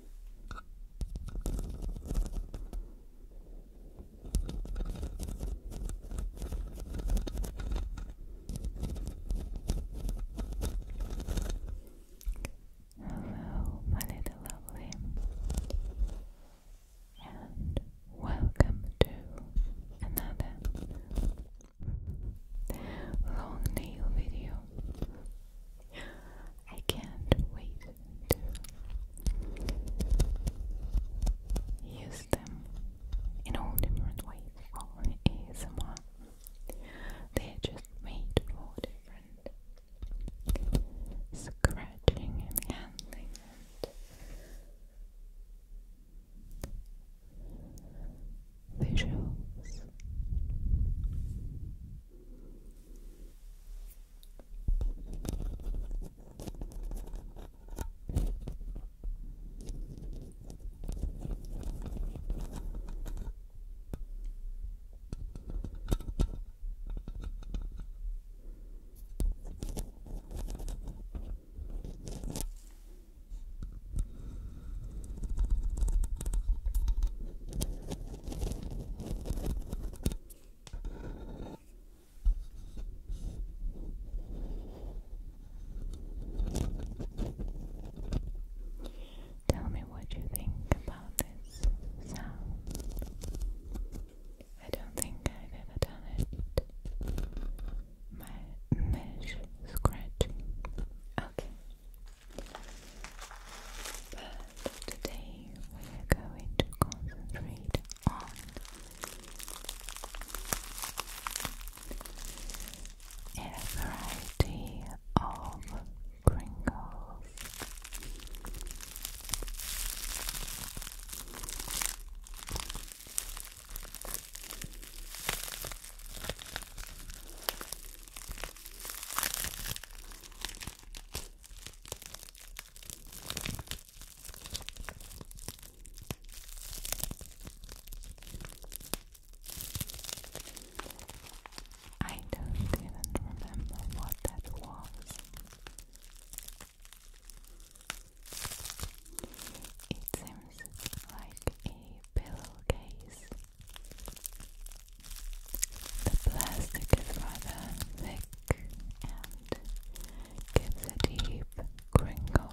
Hello, my little lovely, and welcome to another long nail video. I can't wait to use them in all different ways for ASMR. They're just made for different scratching and handling visuals. Thank Tell me what you think about this sound. I don't think I've ever done it. My mesh scratching. Okay. But today we are going to concentrate on a variety of Pringles. I don't even remember what that was. It seems like a pillowcase. The plastic is rather thick and gives a deep crinkle.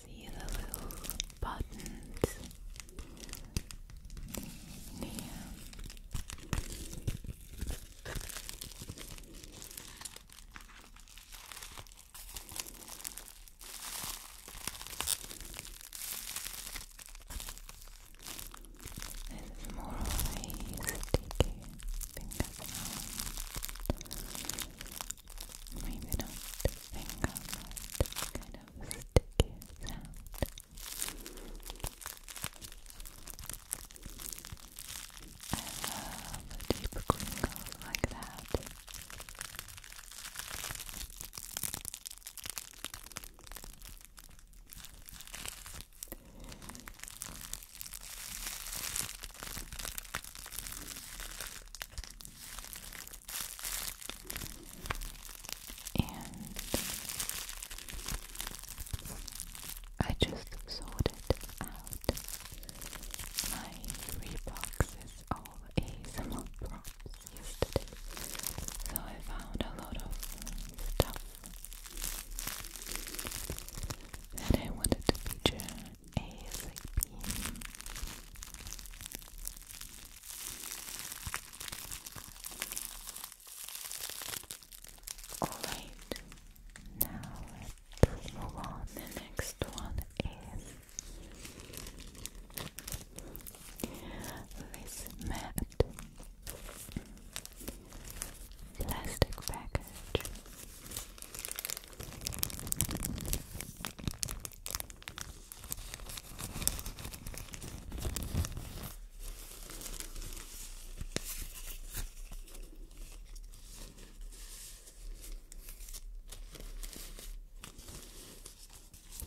See the little buttons. Yeah. This is more of a sticky fingers now. Maybe not finger, but kind of sticky sound. I love a deep crinkle like that. And I just sorted out my three boxes of ASMR props yesterday. So I found a lot of stuff that I wanted to feature ASAP. Alright, now let move on. The next one is this matte plastic package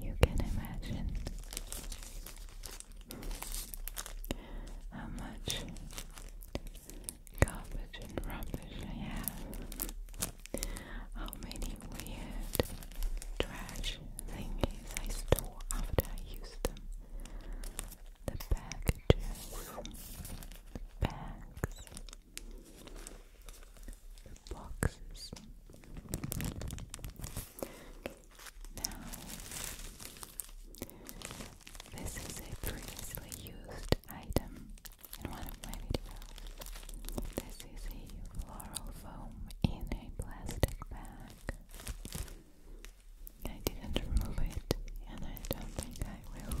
you can imagine how much garbage and rubbish I have, how many weird trash thingies I store after I use them, the packages, bags boxes. Now, this is a previously used item in one of my videos. This is a floral foam in a plastic bag. I didn't remove it, and I don't think I will.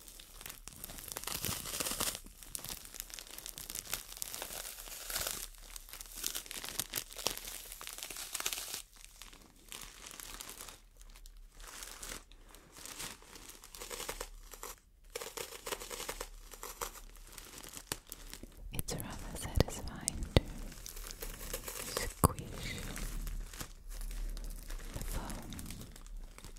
It's rather satisfying to squish the foam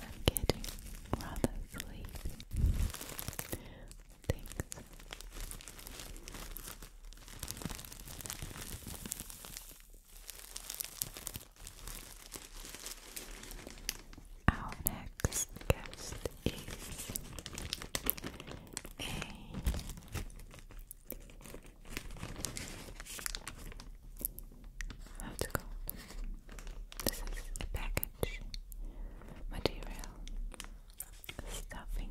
I'm getting rather sleepy. Thanks. Our next guest is a how's it called? This is package material stuffing.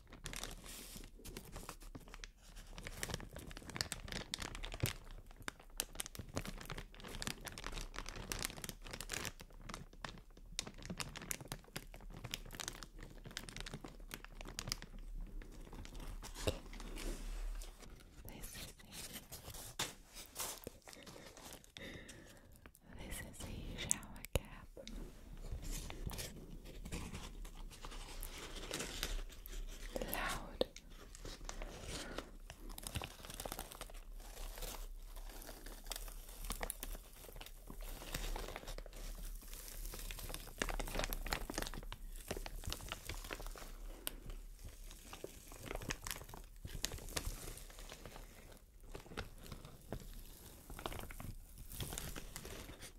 This is this is a shower cap. Loud.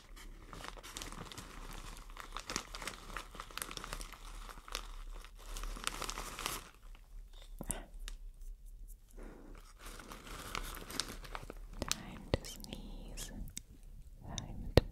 Time to sneeze. Time to sneeze.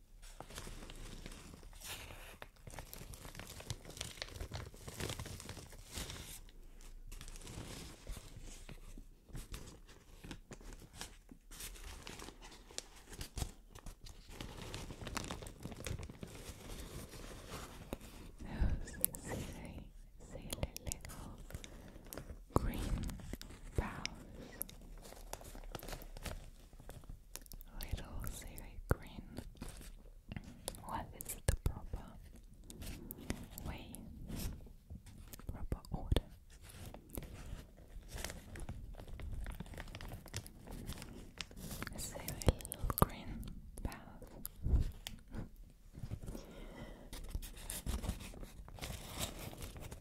Those silly, silly little green boughs. Little silly green. What is the proper way? Proper order. Silly little green boughs.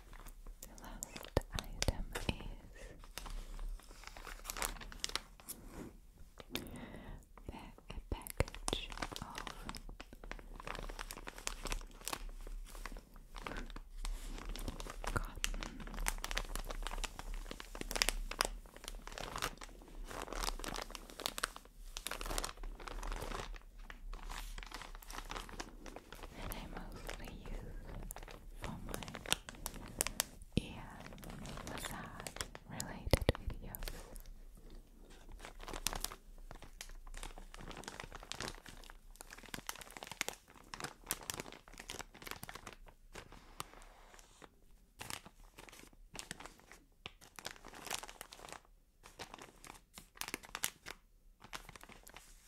The last item is a package of cotton that I mostly use for my ear massage related videos.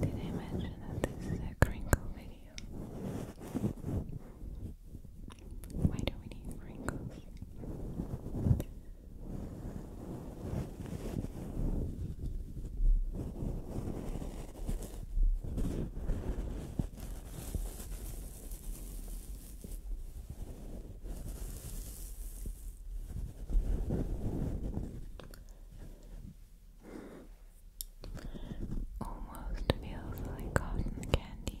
Did I mention that this is a crinkle video? Why do we need wrinkles? Almost feels like cotton candy.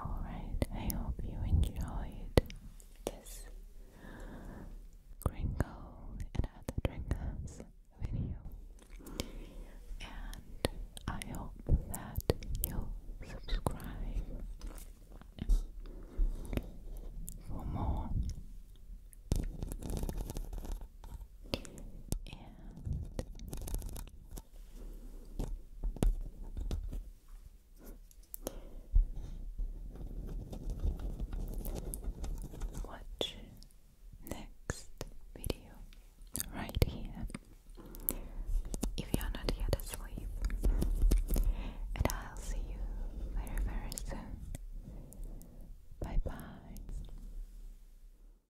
Alright, I hope you enjoyed this Gringo and other drinkers video. And I hope that you subscribe for more and watch next video right here if you're not yet asleep and I'll see you very very soon bye bye